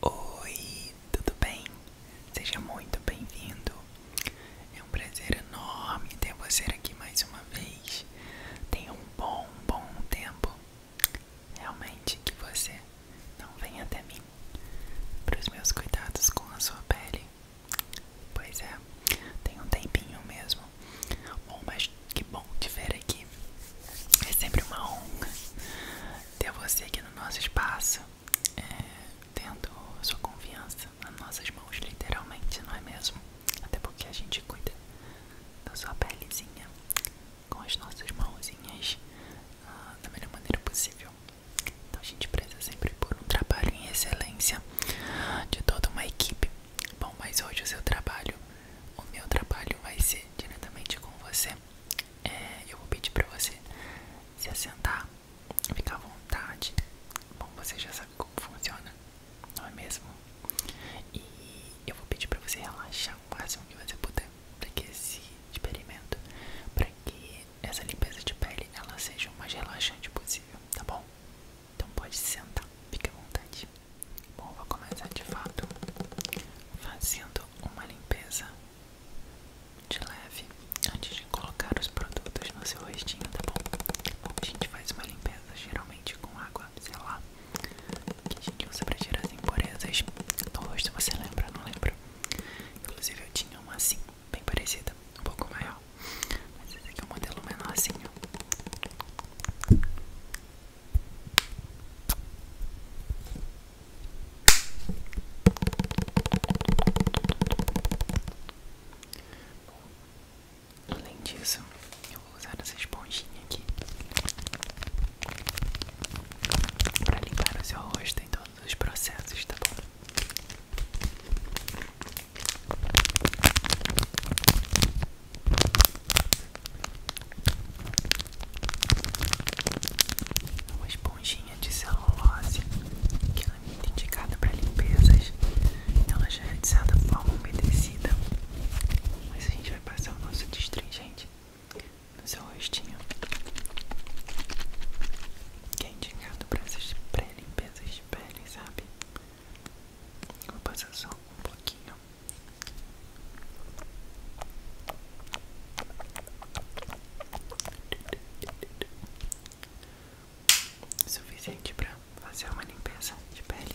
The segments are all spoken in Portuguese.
Oi, tudo bem? Seja muito bem-vindo. É um prazer enorme ter você aqui mais uma vez. Tenha um bom, bom tempo. Realmente que você não vem até mim para os meus cuidados com a sua pele. Pois é, tem um tempinho mesmo. Bom, mas que bom te ver aqui. É sempre uma honra ter você aqui no nosso espaço, é, tendo sua confiança nas nossas mãos, literalmente, não é mesmo? Até porque a gente cuida da sua pelezinha com as nossas mãozinhas ah, da melhor maneira possível. Então a gente preza sempre por um trabalho em excelência de toda uma equipe. Bom, mas hoje o seu trabalho, o meu trabalho vai ser diretamente com você. É, eu vou pedir pra você se assentar, ficar à vontade. Bom, você já sabe como funciona, não é mesmo? E eu vou pedir pra você relaxar o máximo que você puder para que esse experimento, para que essa limpeza de pele ela seja o mais relaxante possível, tá bom? Então pode sentar, fica à vontade. Bom, vou começar de fato fazendo uma limpeza de leve antes de colocar os produtos no seu rostinho, tá bom? a gente faz uma limpeza geralmente com água, sei lá, que a gente usa pra tirar as impurezas do rosto, você lembra? Não lembro. Inclusive eu tinha uma assim, bem parecida, um pouco maior, mas esse aqui é um modelo menorzinho. Bom, além disso, eu vou usar essa esponjinha aqui para limpar o seu rosto em todos os processos, tá bom? Uma esponjinha de celulose que ela é muito indicada para limpezas. Então, ela já é de forma umedecida. Mas a gente vai passar o nosso destringente no seu rostinho. Que é indicado para essas pré-limpezas de pele, sabe? Vou passar só um pouquinho. Suficiente para fazer uma limpeza de pele.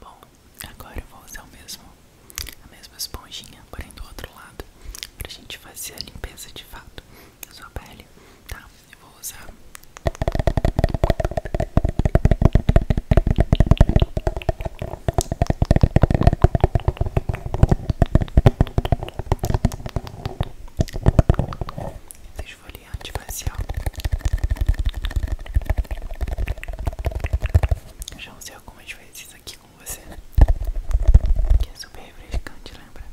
Bom, agora eu vou usar o mesmo, a mesma esponjinha, porém do outro lado, pra gente fazer a limpeza de fato da sua pele, tá? Eu vou usar. Desfoliante facial. já usei algumas vezes aqui com você. Que é super refrescante, lembra?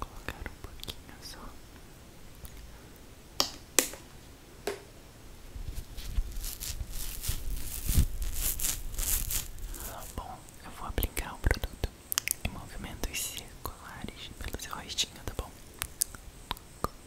Colocar um pouquinho só. Bom, eu vou aplicar o produto em movimentos circulares pelo seu rostinho, tá bom?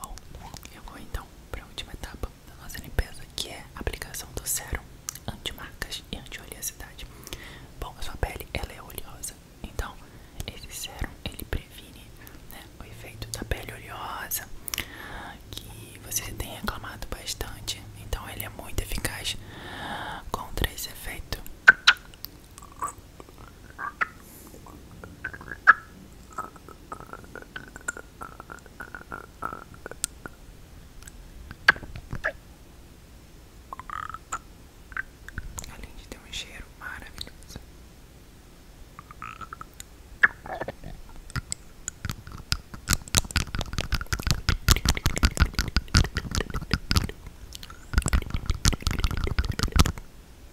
Bom, eu vou então para a última etapa da nossa limpeza, que é a aplicação do sérum anti-marcas e anti-oleosidade. Bom, a sua pele é oleosa, então esse sérum ele previne né, o efeito da pele oleosa que você tem reclamado bastante. Então ele é muito eficaz contra esse efeito Além de ter um cheiro maravilhoso.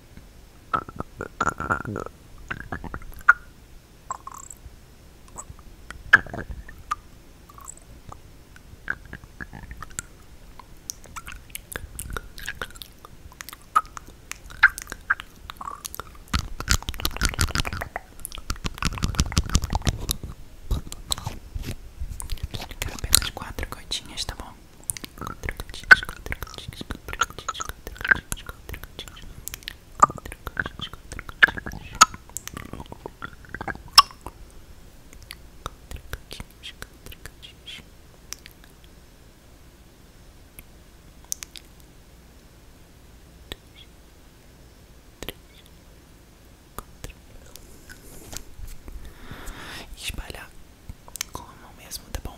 Vou aplicar apenas quatro coitinhas, tá bom? e espalhar com a mão mesmo, tá bom?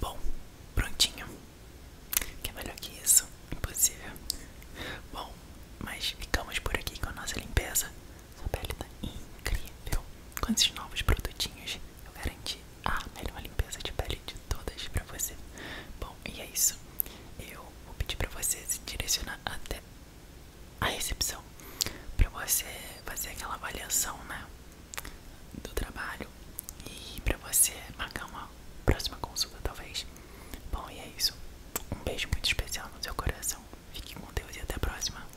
Bom, prontinho. Que é melhor que isso? Impossível. Bom, mas ficamos por aqui com a nossa limpeza. Sua pele tá incrível. Com esses novos produtinhos, eu garanti a melhor limpeza de pele de todas pra você. Bom, e é isso. Eu vou pedir pra você se direcionar até a recepção pra você fazer aquela avaliação, né? Do trabalho e pra você marcar uma próxima consulta, talvez. Bom, e é isso. Um beijo muito especial no seu coração. Fique com Deus e até a próxima.